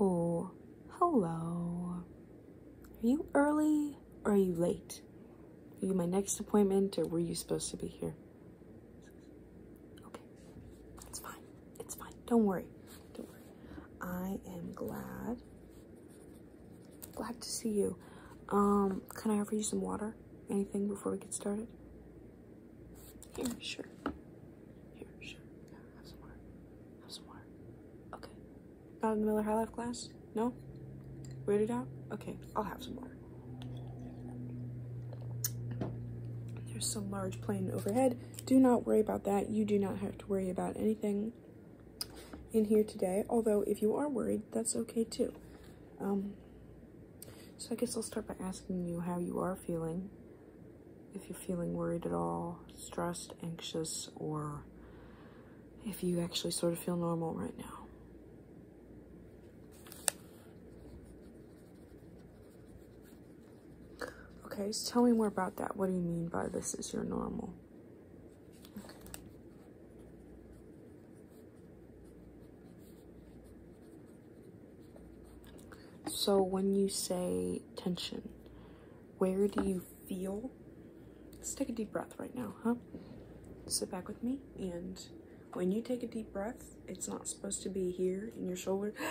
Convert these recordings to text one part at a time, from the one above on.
Oh, hello. Are you early or are you late? Are you my next appointment or were you supposed to be here? Okay, it's fine. It's fine. Don't worry. Don't worry. I am glad. Glad to see you. Um, can I offer you some water? Anything before we get started? Here, sure. Here, sure. have some water. Have some water. Okay. Not in the Miller High Life glass. No? Weirded out? Okay, I'll have some water. There's some large plane overhead. Do not worry about that. You do not have to worry about anything in here today. Although, if you are worried, that's okay too. Um, so I guess I'll start by asking you how you are feeling. If you're feeling worried at all, stressed, anxious, or if you actually sort of feel normal right now. Okay, so tell me more about that. What do you mean by this is your normal? So when you say tension, where do you feel? Let's take a deep breath right now, huh? Sit back with me and when you take a deep breath, it's not supposed to be here in your shoulder.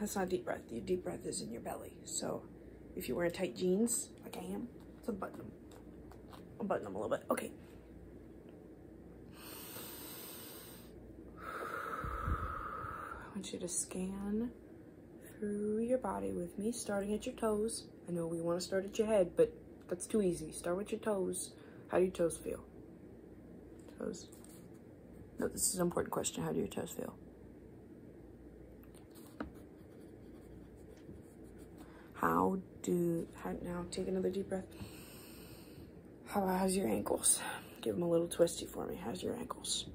That's not deep breath. Your deep breath is in your belly. So if you wear tight jeans, like I am, it's a button i button them a little bit. Okay. I want you to scan through your body with me, starting at your toes. I know we want to start at your head, but that's too easy. Start with your toes. How do your toes feel? Toes. No, this is an important question. How do your toes feel? How do, how, now take another deep breath. How, how's your ankles? Give them a little twisty for me. How's your ankles?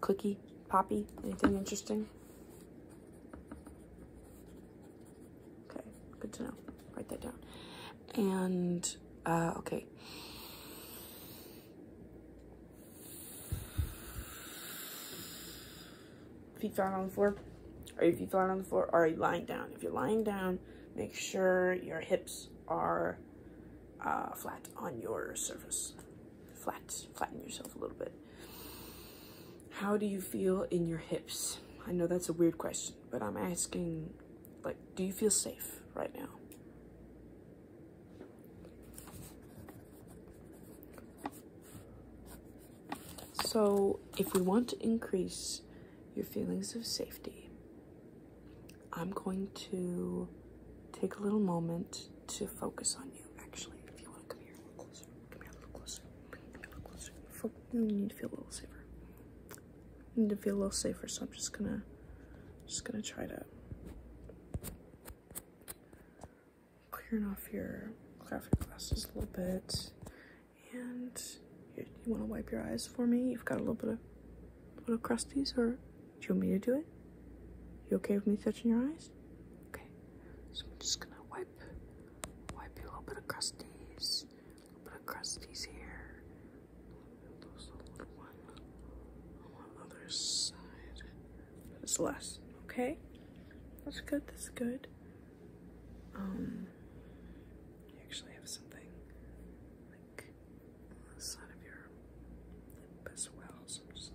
Clicky, poppy, anything interesting? Okay, good to know. Write that down. And, uh, okay. Feet flat on the floor. Are your feet flat on the floor? Or are you lying down? If you're lying down, make sure your hips are uh, flat on your surface. Flat, flatten yourself a little bit. How do you feel in your hips? I know that's a weird question, but I'm asking, like, do you feel safe right now? So, if we want to increase your feelings of safety, I'm going to take a little moment to focus on you, actually, if you want to come here a need to feel a little safer. need to feel a little safer, so I'm just gonna just gonna try to clearing off your glasses a little bit. And you, wanna wipe your eyes for me? You've got a little bit of little crusties or do you want me to do it? You okay with me touching your eyes? Okay. So I'm just gonna wipe wipe, a little bit of crusties, a little bit of crusties here. Those little one other side. It's less, okay? That's good, that's good. Um, you actually have something like on the side of your lip as well, so I'm just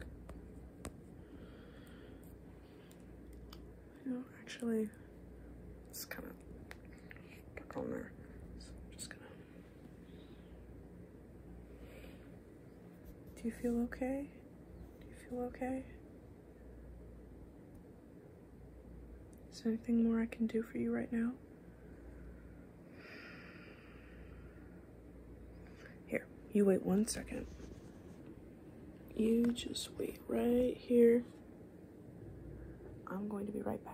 no, actually, it's kind of on there. just gonna. Do you feel okay? Do you feel okay? Is there anything more I can do for you right now? Here, you wait one second. You just wait right here. I'm going to be right back.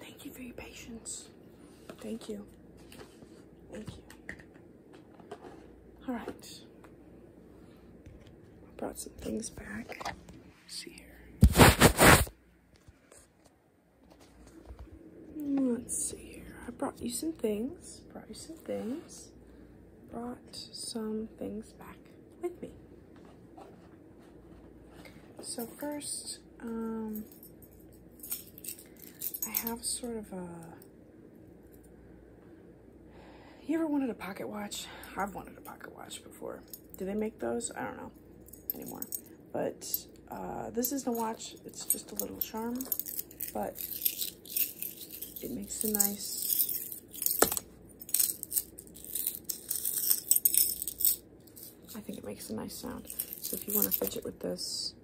Thank you for your patience. Thank you. Thank you. All right. I brought some things back. Let's see here. Let's see here. I brought you some things. Brought you some things. Brought some things back with me. So first, um, I have sort of a... You ever wanted a pocket watch? I've wanted a pocket watch before. Do they make those? I don't know anymore. But uh, this isn't a watch. It's just a little charm. But it makes a nice I think it makes a nice sound. So if you want to fidget with this,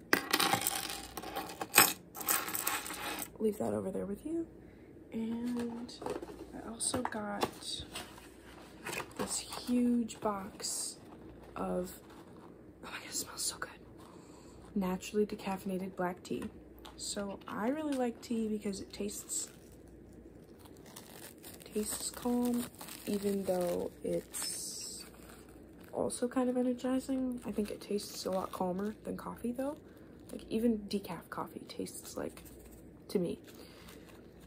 leave that over there with you. And I also got this huge box of, oh my god, it smells so good, naturally decaffeinated black tea. So I really like tea because it tastes, tastes calm even though it's also kind of energizing. I think it tastes a lot calmer than coffee though. Like even decaf coffee tastes like, to me.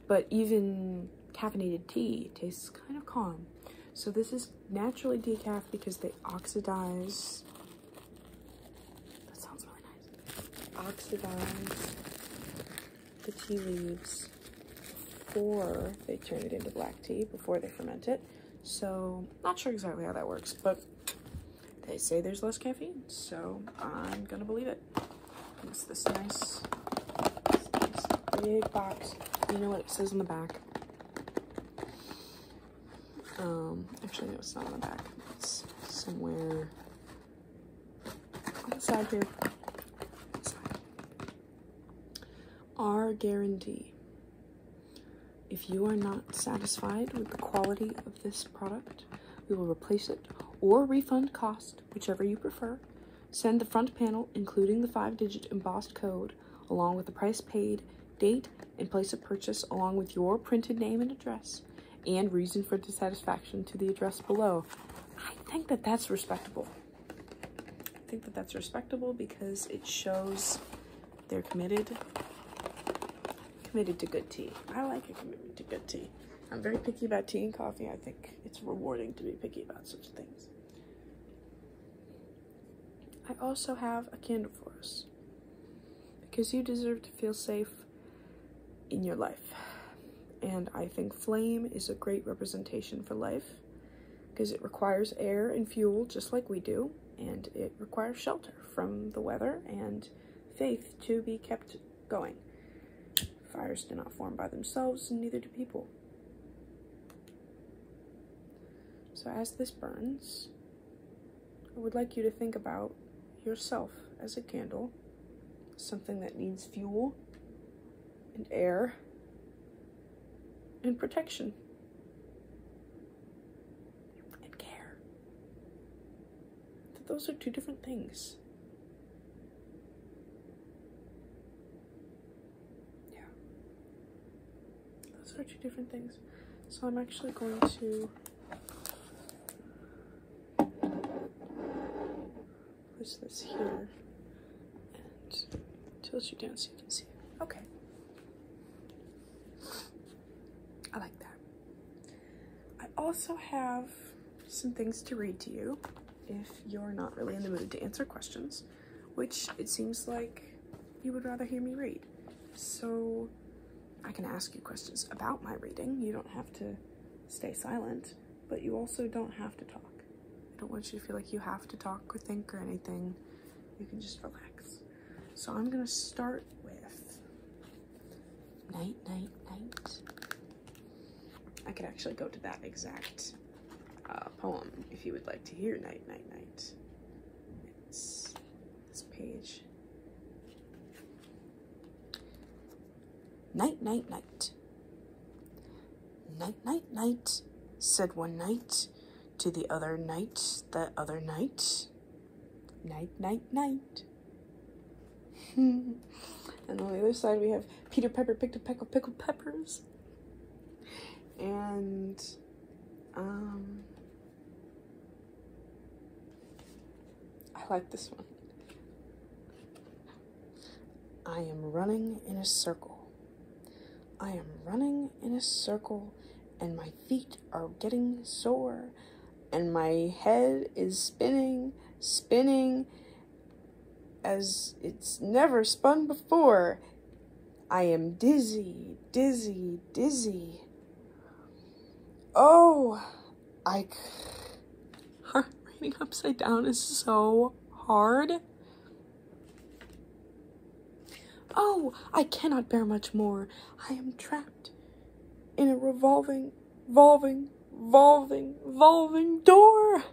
But even caffeinated tea tastes kind of calm. So this is naturally decaf because they oxidize, that sounds really nice, oxidize the tea leaves before they turn it into black tea, before they ferment it. So, not sure exactly how that works, but they say there's less caffeine, so I'm gonna believe it. It's this nice, nice big box. You know what it says in the back? Um, actually, no, it's not on the back. It's somewhere inside here. Our guarantee. If you are not satisfied with the quality of this product, we will replace it or refund cost, whichever you prefer. Send the front panel, including the five digit embossed code, along with the price paid, date, and place of purchase, along with your printed name and address, and reason for dissatisfaction to the address below. I think that that's respectable. I think that that's respectable because it shows they're committed. Committed to good tea. I like a commitment to good tea. I'm very picky about tea and coffee. I think it's rewarding to be picky about such things. I also have a candle for us because you deserve to feel safe in your life. And I think flame is a great representation for life because it requires air and fuel just like we do, and it requires shelter from the weather and faith to be kept going. Fires do not form by themselves, neither do people. So as this burns, I would like you to think about yourself as a candle, something that needs fuel and air and protection and care. those are two different things. Yeah. Those are two different things. So I'm actually going to push this here and tilt you down so you can see Okay. I like that. I also have some things to read to you if you're not really in the mood to answer questions, which it seems like you would rather hear me read. So I can ask you questions about my reading. You don't have to stay silent but you also don't have to talk. I don't want you to feel like you have to talk or think or anything. You can just relax. So I'm gonna start with night, night, night. I could actually go to that exact uh, poem if you would like to hear night, night, night. It's this page. Night, night, night. Night, night, night, said one night, to the other night, the other night. Night, night, night. and on the other side, we have Peter Pepper picked a peck of pickled peppers. And, um, I like this one. I am running in a circle. I am running in a circle, and my feet are getting sore, and my head is spinning, spinning as it's never spun before. I am dizzy, dizzy, dizzy. Oh, I, Heart reading upside down is so hard. Oh, I cannot bear much more. I am trapped in a revolving, revolving, revolving, revolving door.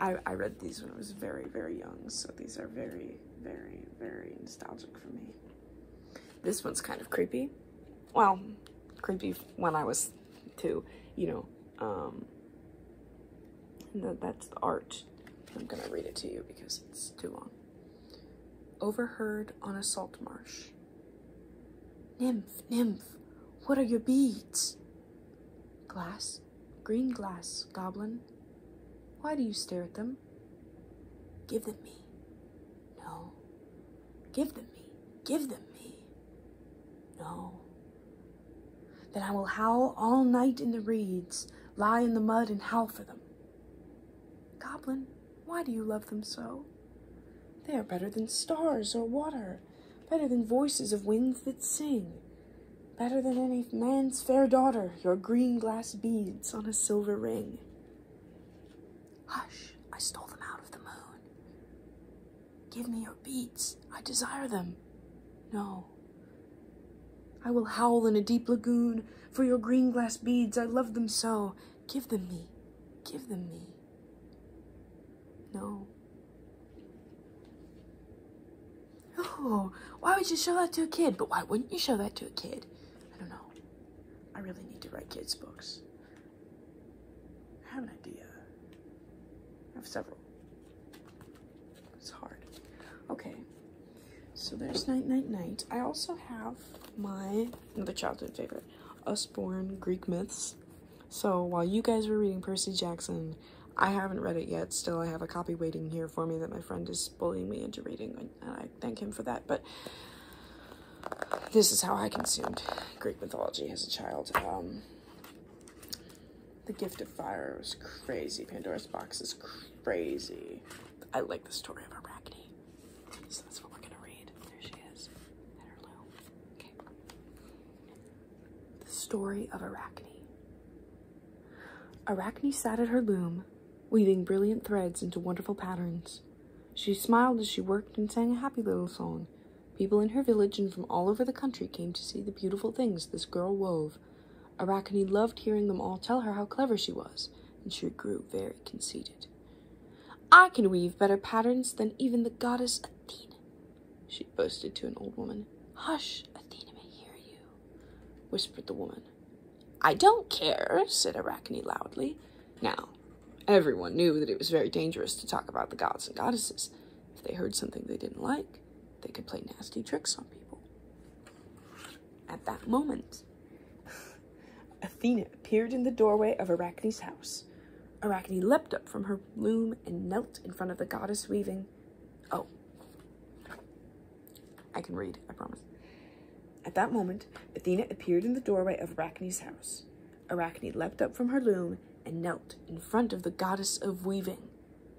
I, I read these when I was very, very young, so these are very, very, very nostalgic for me. This one's kind of creepy. Well, creepy when I was two, you know, um, that's the art. I'm going to read it to you because it's too long. Overheard on a salt marsh. Nymph, nymph, what are your beads? Glass, green glass, goblin. Why do you stare at them? Give them me. No, Give them me. Give them me. No. Then I will howl all night in the reeds, lie in the mud and howl for them. Goblin, why do you love them so? They are better than stars or water, better than voices of winds that sing, better than any man's fair daughter, your green glass beads on a silver ring. Hush, I stole them out of the moon. Give me your beads. I desire them. No. I will howl in a deep lagoon for your green glass beads. I love them so. Give them me. Give them me. No. Oh, why would you show that to a kid? But why wouldn't you show that to a kid? I don't know. I really need to write kids' books. I have an idea. I have several. It's hard. Okay. So there's Night Night Night. I also have my another childhood favorite, Usborne Greek Myths. So while you guys were reading Percy Jackson, I haven't read it yet. Still, I have a copy waiting here for me that my friend is bullying me into reading, and I thank him for that. But this is how I consumed Greek mythology as a child. Um, the Gift of Fire was crazy. Pandora's Box is crazy. I like the story of Arachne. So that's what we're gonna read. There she is at her loom. Okay. The story of Arachne. Arachne sat at her loom, weaving brilliant threads into wonderful patterns. She smiled as she worked and sang a happy little song People in her village and from all over the country came to see the beautiful things this girl wove. Arachne loved hearing them all tell her how clever she was, and she grew very conceited. I can weave better patterns than even the goddess Athena, she boasted to an old woman. Hush, Athena may hear you, whispered the woman. I don't care, said Arachne loudly. Now, Everyone knew that it was very dangerous to talk about the gods and goddesses. If they heard something they didn't like, they could play nasty tricks on people. At that moment, Athena appeared in the doorway of Arachne's house. Arachne leapt up from her loom and knelt in front of the goddess weaving. Oh. I can read, I promise. At that moment, Athena appeared in the doorway of Arachne's house. Arachne leapt up from her loom and knelt in front of the goddess of weaving,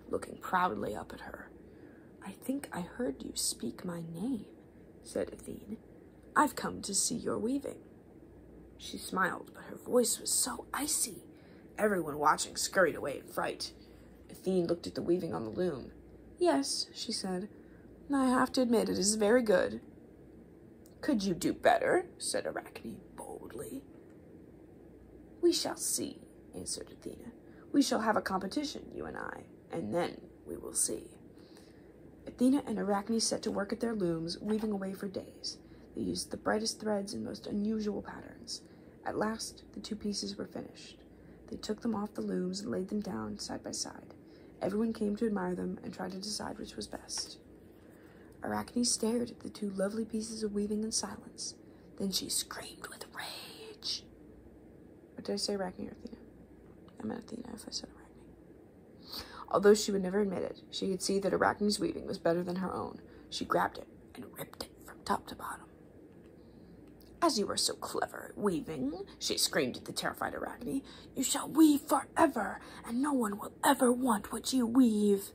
looking proudly up at her. I think I heard you speak my name, said Athene. I've come to see your weaving. She smiled, but her voice was so icy. Everyone watching scurried away in fright. Athene looked at the weaving on the loom. Yes, she said. I have to admit it is very good. Could you do better? said Arachne boldly. We shall see, answered Athena. We shall have a competition, you and I, and then we will see. Athena and Arachne set to work at their looms, weaving away for days. They used the brightest threads and most unusual patterns. At last, the two pieces were finished. They took them off the looms and laid them down side by side. Everyone came to admire them and tried to decide which was best. Arachne stared at the two lovely pieces of weaving in silence. Then she screamed with rage. What did I say, Arachne or Athena? I am an Athena if I said Arachne. Although she would never admit it, she could see that Arachne's weaving was better than her own. She grabbed it and ripped it from top to bottom. As you are so clever at weaving, she screamed at the terrified Arachne, you shall weave forever, and no one will ever want what you weave.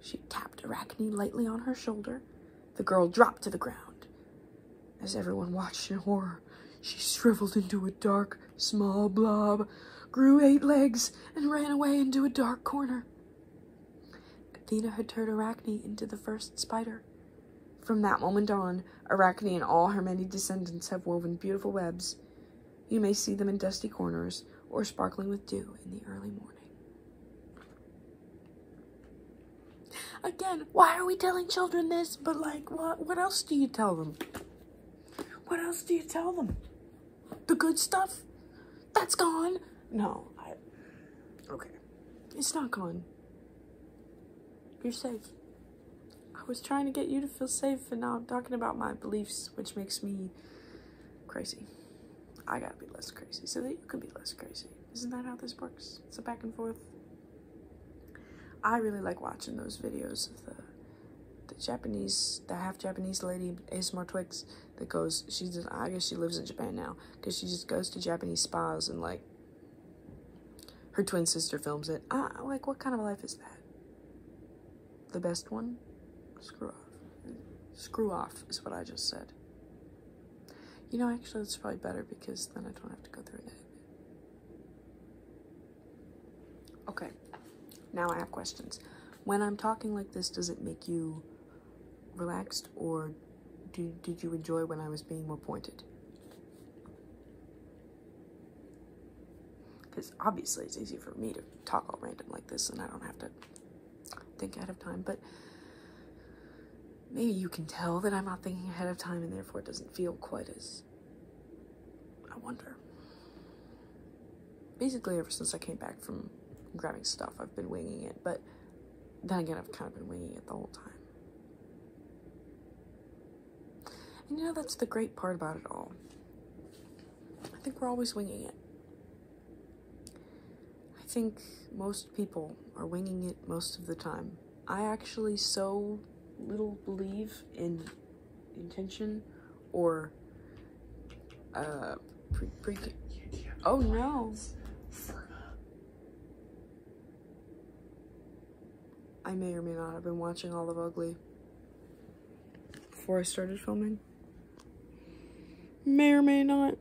She tapped Arachne lightly on her shoulder. The girl dropped to the ground. As everyone watched in horror, she shriveled into a dark, small blob, grew eight legs, and ran away into a dark corner. Athena had turned Arachne into the first spider. From that moment on, Arachne and all her many descendants have woven beautiful webs you may see them in dusty corners or sparkling with dew in the early morning. Again, why are we telling children this? But like, what, what else do you tell them? What else do you tell them? The good stuff? That's gone. No, okay. It's not gone. You're safe. I was trying to get you to feel safe, and now I'm talking about my beliefs, which makes me crazy. I gotta be less crazy so that you can be less crazy. Isn't that how this works? It's a back and forth. I really like watching those videos of the Japanese, the half Japanese lady, ASMR Twix, that goes, she's, I guess she lives in Japan now, because she just goes to Japanese spas and like, her twin sister films it. I, like, what kind of life is that? The best one? Screw off. Screw off is what I just said. You know, actually, that's probably better because then I don't have to go through it. Okay, now I have questions. When I'm talking like this, does it make you relaxed or do, did you enjoy when I was being more pointed? Because obviously it's easy for me to talk all random like this and I don't have to think ahead of time, but maybe you can tell that I'm not thinking ahead of time and therefore it doesn't feel quite as. I wonder. Basically, ever since I came back from grabbing stuff, I've been winging it, but then again, I've kind of been winging it the whole time. And you know, that's the great part about it all. I think we're always winging it. I think most people are winging it most of the time. I actually so little believe in intention or uh pre, Oh no. I may or may not have been watching all of Ugly before I started filming. May or may not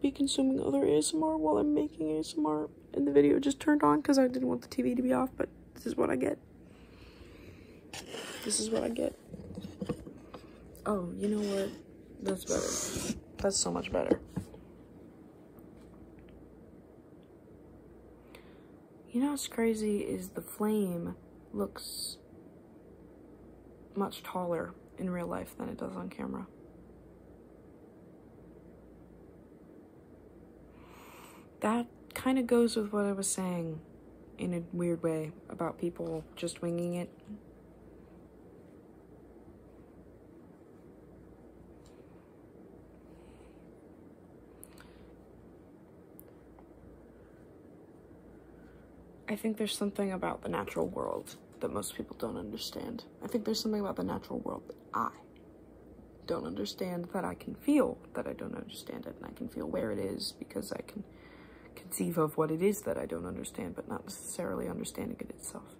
be consuming other ASMR while I'm making ASMR and the video just turned on because I didn't want the TV to be off, but this is what I get. This is what I get. Oh, you know what? That's better. That's so much better. You know what's crazy is the flame looks much taller in real life than it does on camera. That kind of goes with what I was saying in a weird way about people just winging it. I think there's something about the natural world that most people don't understand. I think there's something about the natural world that I don't understand that I can feel that I don't understand it and I can feel where it is because I can conceive of what it is that I don't understand but not necessarily understanding it itself.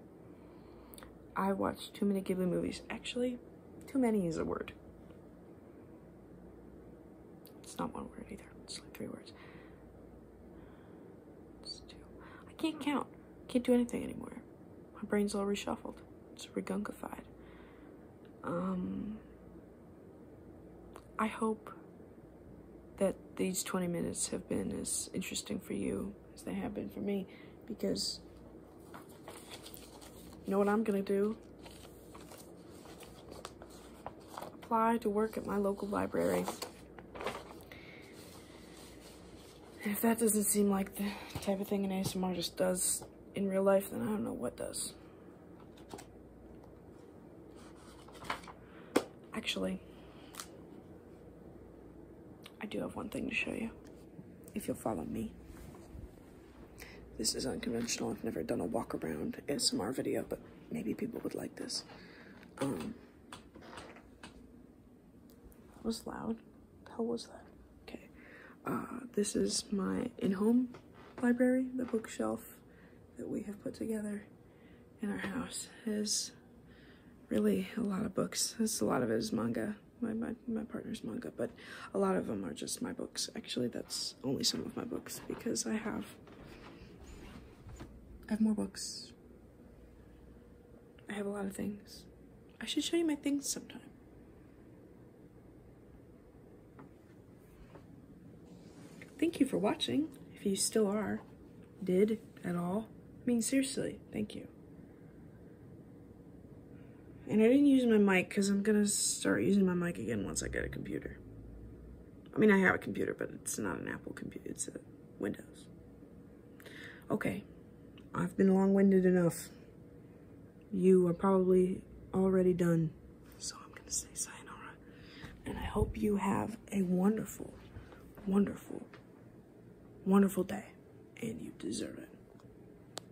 I watched too many Ghibli movies. Actually, too many is a word. It's not one word either. It's like three words. two. I can't count. Can't do anything anymore. My brain's all reshuffled. It's regunkified. Um. I hope that these 20 minutes have been as interesting for you as they have been for me because you know what I'm gonna do? Apply to work at my local library. if that doesn't seem like the type of thing an ASMR just does in real life, then I don't know what does. Actually, I do have one thing to show you, if you'll follow me. This is unconventional. I've never done a walk around ASMR video, but maybe people would like this. Um, that was loud. The hell was that? Okay. Uh, this is my in-home library. The bookshelf that we have put together in our house is really a lot of books. This a lot of it is manga my, my, my partner's manga, but a lot of them are just my books. Actually, that's only some of my books because I have, I have more books. I have a lot of things. I should show you my things sometime. Thank you for watching, if you still are, did at all. I mean, seriously, thank you. And I didn't use my mic because I'm going to start using my mic again once I get a computer. I mean, I have a computer, but it's not an Apple computer. It's a Windows. Okay. I've been long-winded enough. You are probably already done. So I'm going to say sayonara. And I hope you have a wonderful, wonderful, wonderful day. And you deserve it.